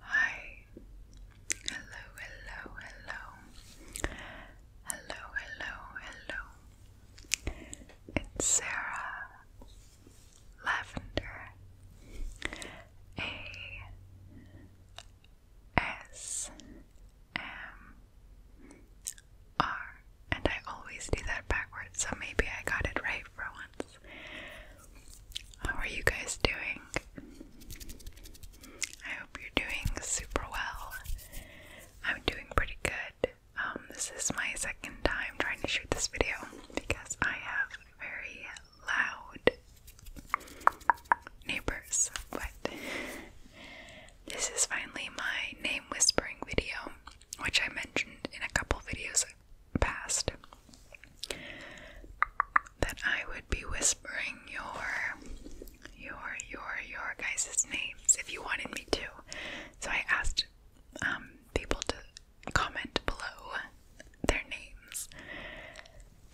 Hi. Hello, hello, hello. Hello, hello, hello. It's Sarah Lavender. A S M R and I always do that backwards, so maybe I got it right for once. How are you guys doing? I hope you're doing super well. I'm doing pretty good. Um, this is my second time trying to shoot this video because I have very loud neighbors, but this is finally my name whispering video, which I mentioned in a couple videos Past that I would be whispering your, your, your, your guys' names if you wanted me to. So I asked um, people to comment below their names,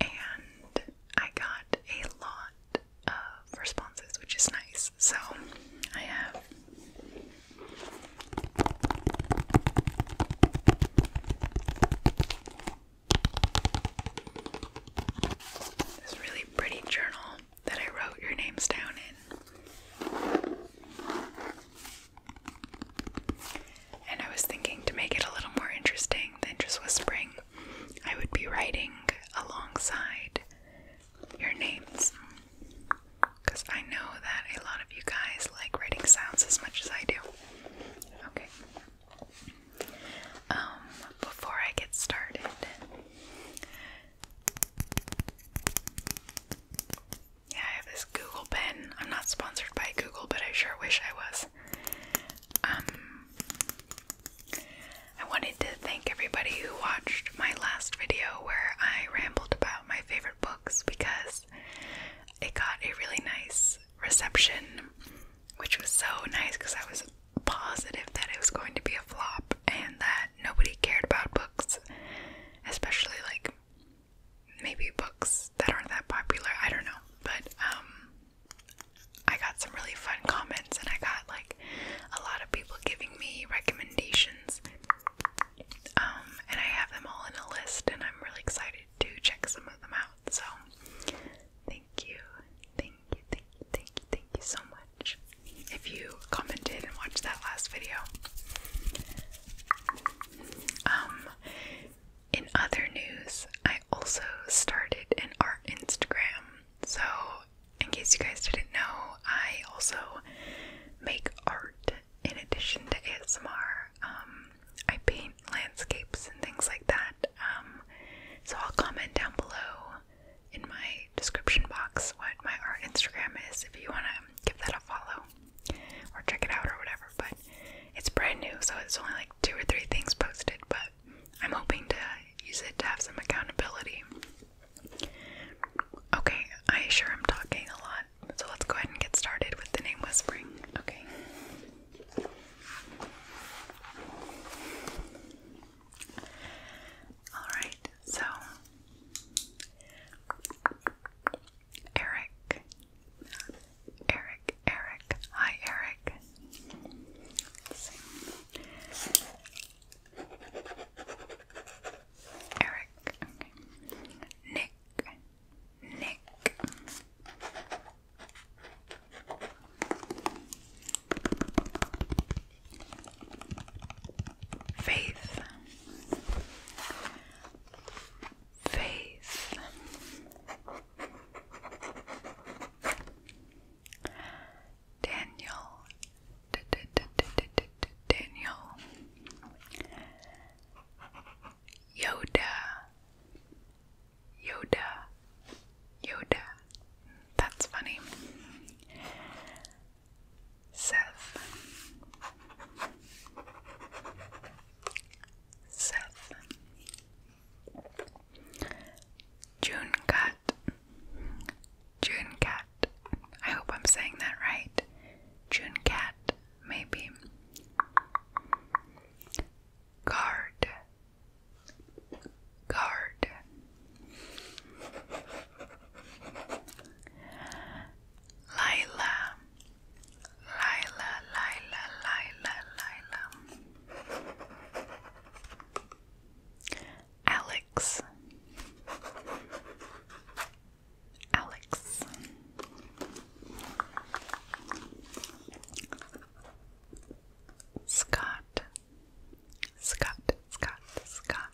and I got a lot of responses, which is nice. So I have this really pretty journal that I wrote your names down in. And I was thinking to make it a little more interesting than just whispering, I would be writing alongside your names. Because I know that a lot of you guys like writing sounds as much as I do. Okay. Um, before I get started, yeah, I have this Google pen. I'm not sponsored by Google, but I sure wish I was. Um, I wanted to thank everybody who watched my last video where I rambled about my favorite books because it got a really nice reception, which was so nice because I was positive that it was going to be a flop and that nobody cared about books, especially like maybe books that aren't that popular. I don't know, but um, I got some really fun comments and I got like a lot of people giving me recommendations um, and I have them all in a list, and I'm really excited to check some of them out. So, thank you, thank you, thank you, thank you, thank you so much. If you commented and watched that last video, um, in other news, I also started an art Instagram. So, in case you guys didn't know, I also make art in addition to ASMR, um, I paint landscapes and things like that. Um, so I'll comment down below in my description box what my art Instagram is if you want to give that a follow or check it out or whatever. But it's brand new, so it's only like two or three things posted, but I'm hoping to use it to have some accountability. Okay, I sure am talking a lot. So let's go ahead and get started with the name whispering. Okay. Alright, so Eric. Eric, Eric. Hi, Eric. Eric. Nick. Nick. Faith. Faith. Daniel. Daniel Yoda Yoda Yoda that's funny Seth Seth June cut June cut I hope I'm saying that right. June Cat, maybe. Guard. Guard. Lila. Lila, Lila, Lila, Lila. Alex. Alex. Scott. Scott, Scott, Scott.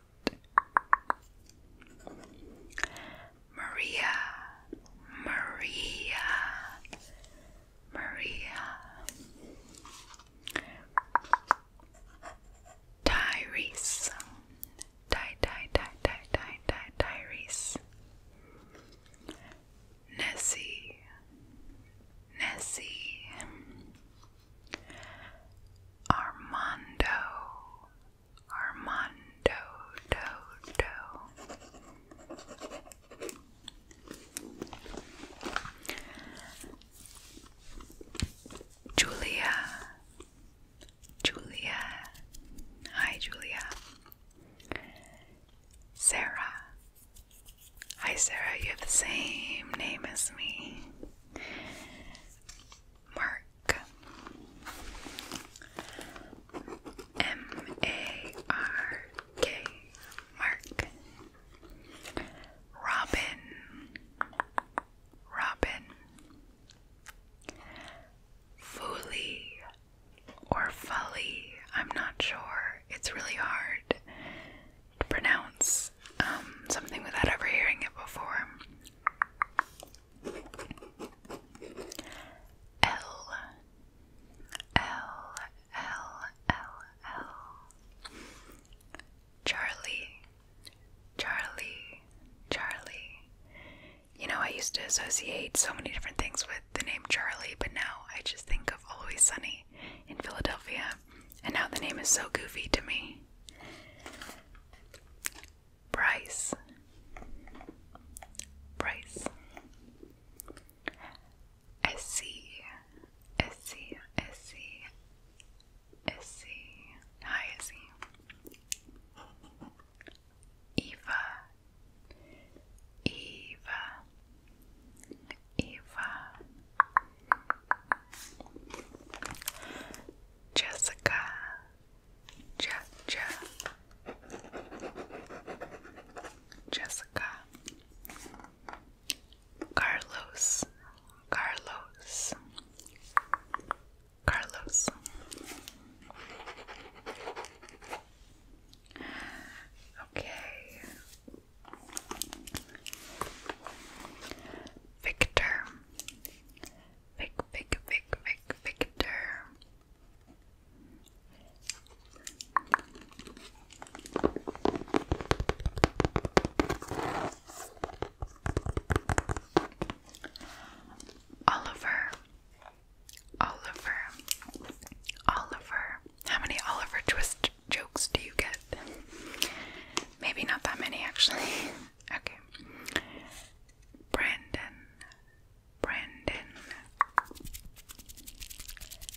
Maria, Maria, Maria. Tyrese, Di Di Di Di Di Di Diaries Nessie Nessie Armando Armando Do Do Julia Julia. Hi, Julia. Sarah. Hi, Sarah. You have the same name as me. Mark. M A R K. Mark. Robin robin. Fully or fully, I'm not sure. It's really hard to pronounce um, something without ever hearing it before. L L L L L Charlie Charlie, Charlie. You know, I used to associate so many different things with the name Charlie, but now I just think of Always Sunny in Philadelphia, and now the name is so goofy to me. Bryce, Bryce. Essie, Izzy. Hi, Izzy. Eva. Eva. Eva. Jessica. Je Je Jessica. Carlos. Carlos. Carlos. Okay. Victor. Vic, Vic, Vic, Vic, Victor. Oliver, Oliver, Oliver. How many Oliver Twist jokes do you get? Maybe not that many, actually. okay. Brandon, Brandon.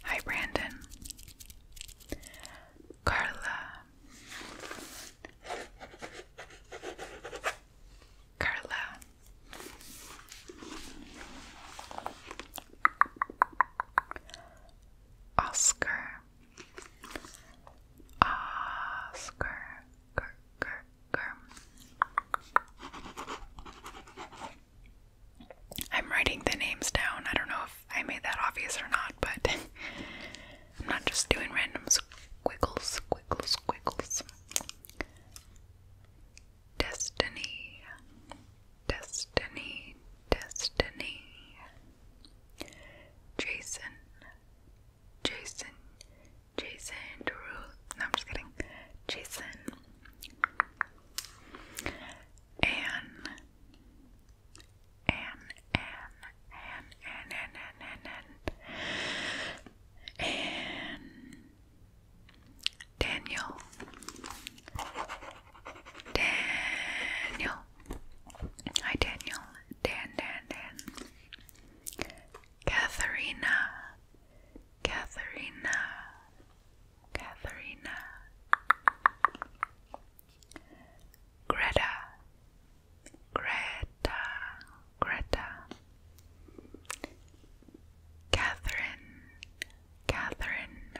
Hi, Brandon. Carla, Carla. Oscar. Oscar. I'm writing the names down. I don't know if I made that obvious or not, but I'm not just doing random squiggles, squiggles, squiggles. Destiny, destiny, destiny. Jason, Jason, Jason No, I'm just kidding. Jason. Anne, Anne, Anne, and and and and and and, and Daniel Daniel Hi Daniel Dan Dan Dan Katharina Katharina Katharina Greta Greta, Greta, Catherine, Catherine,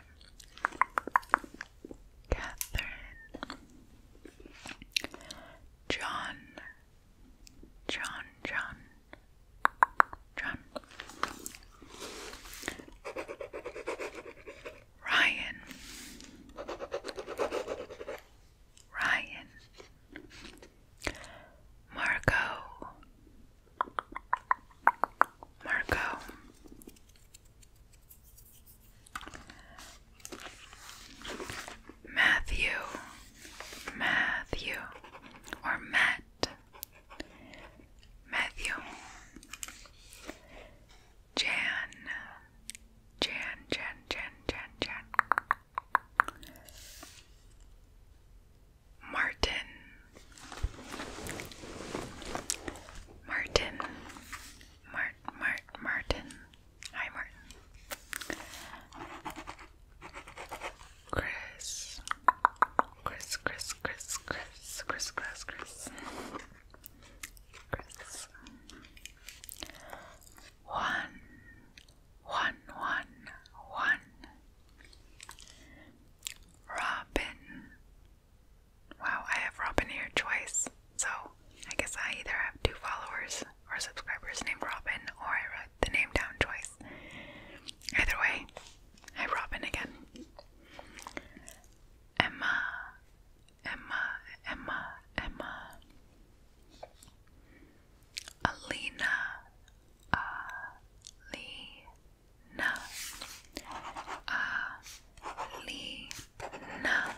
Catherine, John, John, John, John, Ryan. Ryan, Marco, Marco, Matthew, Matthew, or Matt, Matthew, Jan, Jan, Jan, Jan, Jan, Jan. Martin. Martin. Mart, Mart, Martin. Hi, Martin. Chris. Chris, Chris, Chris, Chris, Chris, Chris, Chris. Chris. One, one, one, one. Robin. Wow, I have Robin here twice. So I guess I either have two followers or subscribers named Robin, or I wrote the name down twice. Either way, I Robin again. Emma, Emma, Emma, Emma. Alina, Alina, Alina.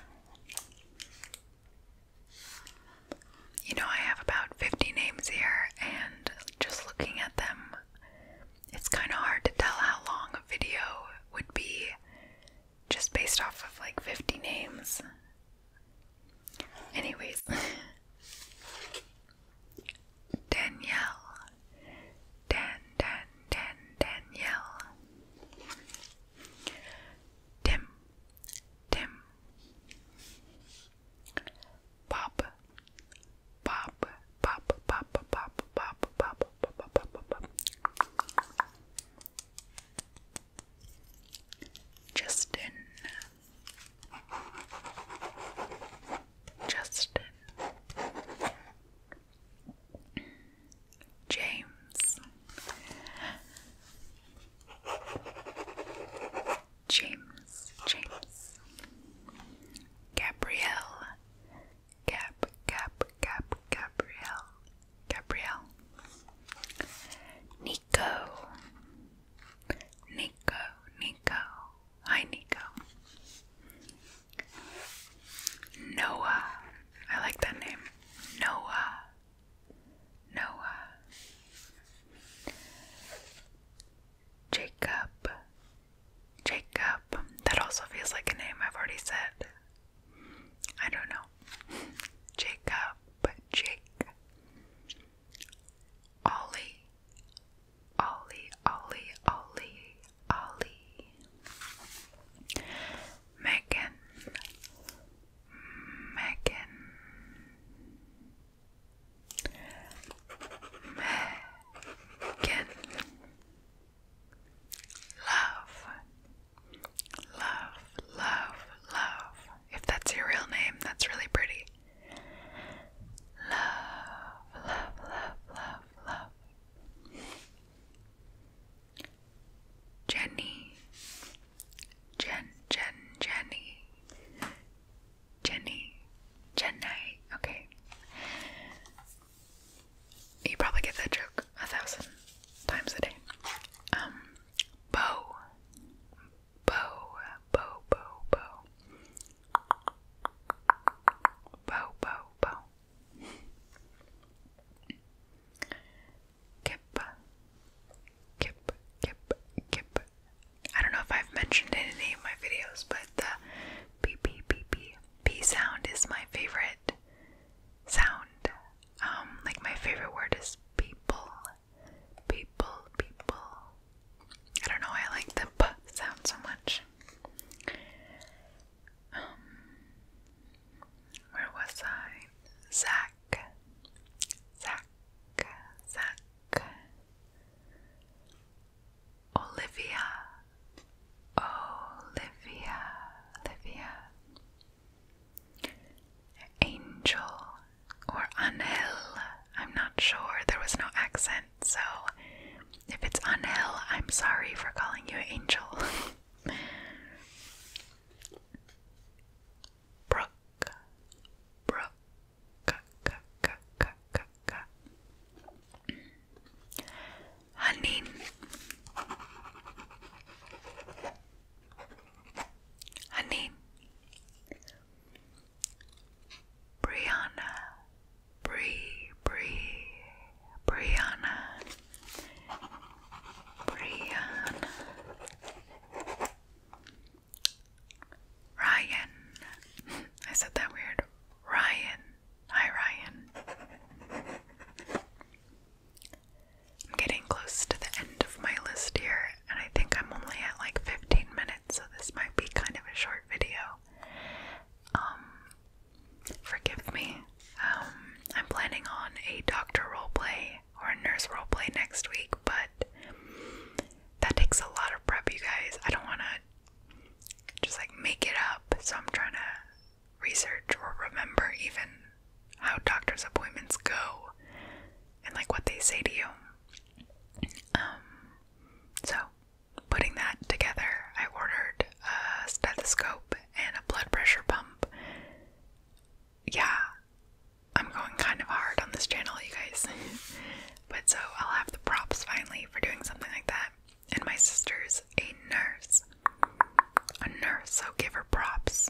You know, I have about 50 names here, and just looking at them, it's kind of hard to tell how long a video would be just based off of like 50 names. Anyways, Danielle. Dan, Dan, Dan, Danielle. Tim, Tim. Bob, Bob, Bob, Bob, Bob, Bob, Bob, Bob, Bob, Bob, Bob, Bob. Justin. Justin. James. James, James, Gabrielle, Gab, Gab, Gab, Gabrielle, Gabriel, Nico. Nico, Nico. Hi, Nico. Noah. I like that name. Noah. Noah. Jacob. Jacob. That also feels like a name I've already said. I don't know. Jacob, Jake, Ollie, Ollie, Ollie, Ollie, Ollie, Megan, Megan, Megan, Love. Love, love, love. If that's your real name, that's really pretty. Love, love, love, love, love. Jenny, Jen, Jen, Jenny, Jenny, Jenny. Okay. You probably get that joke a thousand times a day. Um, Bow. Bow. Bow. Bow. Bow. Bow. Bow. Bow. Kip. Kip. Kip. Kip. I don't know if I've mentioned it in any of my videos, but the p p p p p sound is my favorite sound um like my favorite word is people. People, people. I don't know, I like the p sound so much. Um where was I? Zach. Zach. Zach. Olivia. Olivia. Olivia. Angel or Anel, I'm not sure. There was no accent, so if it's Anel, I'm sorry for calling you Angel. Brooke, Brooke, k Honey, Brianna, Bree, Bree, Brianna, Brianna, Ryan. I said that weird. Ryan, hi Ryan. I'm getting close to the end of my list here, and I think I'm only at like 15 minutes, so this might be kind of a short video. Um, forgive me. Um, I'm planning on a doctor role play or a nurse role play next week, but that takes a lot of prep, you guys. I don't want to just like make it up, so I'm trying to research or remember even how doctor's appointments go and like what they say to you. Um, so, putting that together, I ordered a stethoscope and a blood pressure pump. Yeah, I'm going kind of hard on this channel, you guys. but so I'll have the props finally for doing something like that. And my sister's a nurse. A nurse, so give her props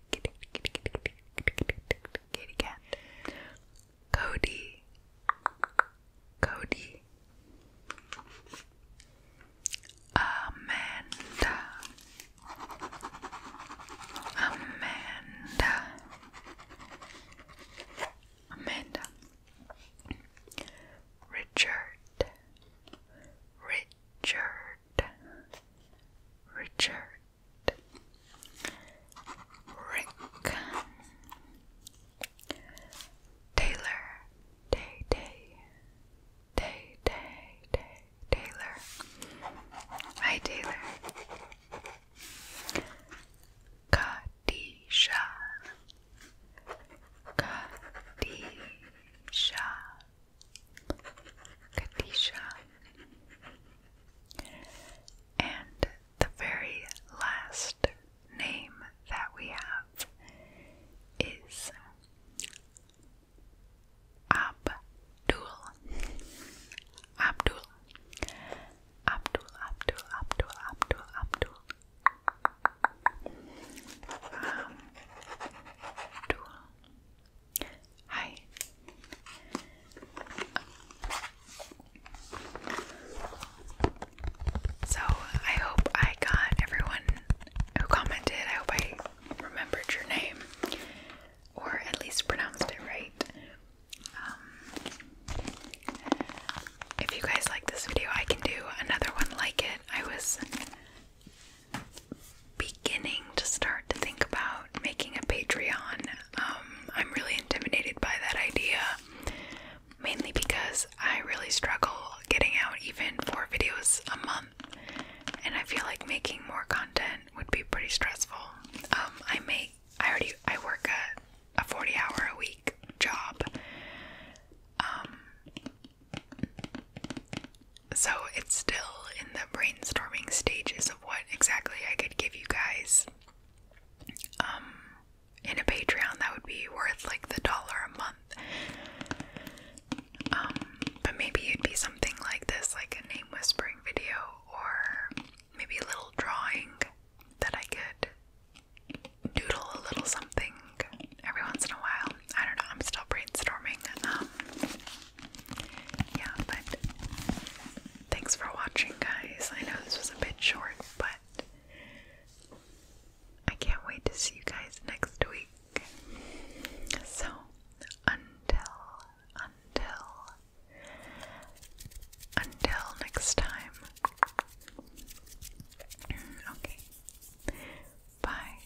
kitty, kitty, kitty, kitty, kitty cat, Cody, Cody, Amanda, Amanda, Amanda, Richard, Richard. Richard Rick Taylor Day Day Day Day Day Taylor Hi Taylor Kadisha Kadisha Kadisha. And the very last name that we have is Abdul. Abdul. Abdul, Abdul, Abdul, Abdul, Abdul. Abdul. Hi. So, I hope I got everyone who commented. I hope I remembered your name or at least pronounced it right. Um, if you guys like this video, I can do another one like it. I was beginning to start to think about making a Patreon. Um, I'm really intimidated by that idea, mainly because I really struggle getting out even four videos a month, and I feel like making more content would be pretty stressful. Um, I make I already I work a a 40 hour a week job. Um, so it's still in the brainstorming stages of what exactly I could give you guys. Um in a Patreon that would be worth like the dollar a month. Um but maybe it'd be something like this, like a name whispering video or maybe a little drawing that I could doodle a little something every once in a while. I don't know, I'm still brainstorming. Um yeah, but thanks for watching, guys. I know this was a bit short, but I can't wait to see you guys next week. So, until, until, until next time. Okay. Bye.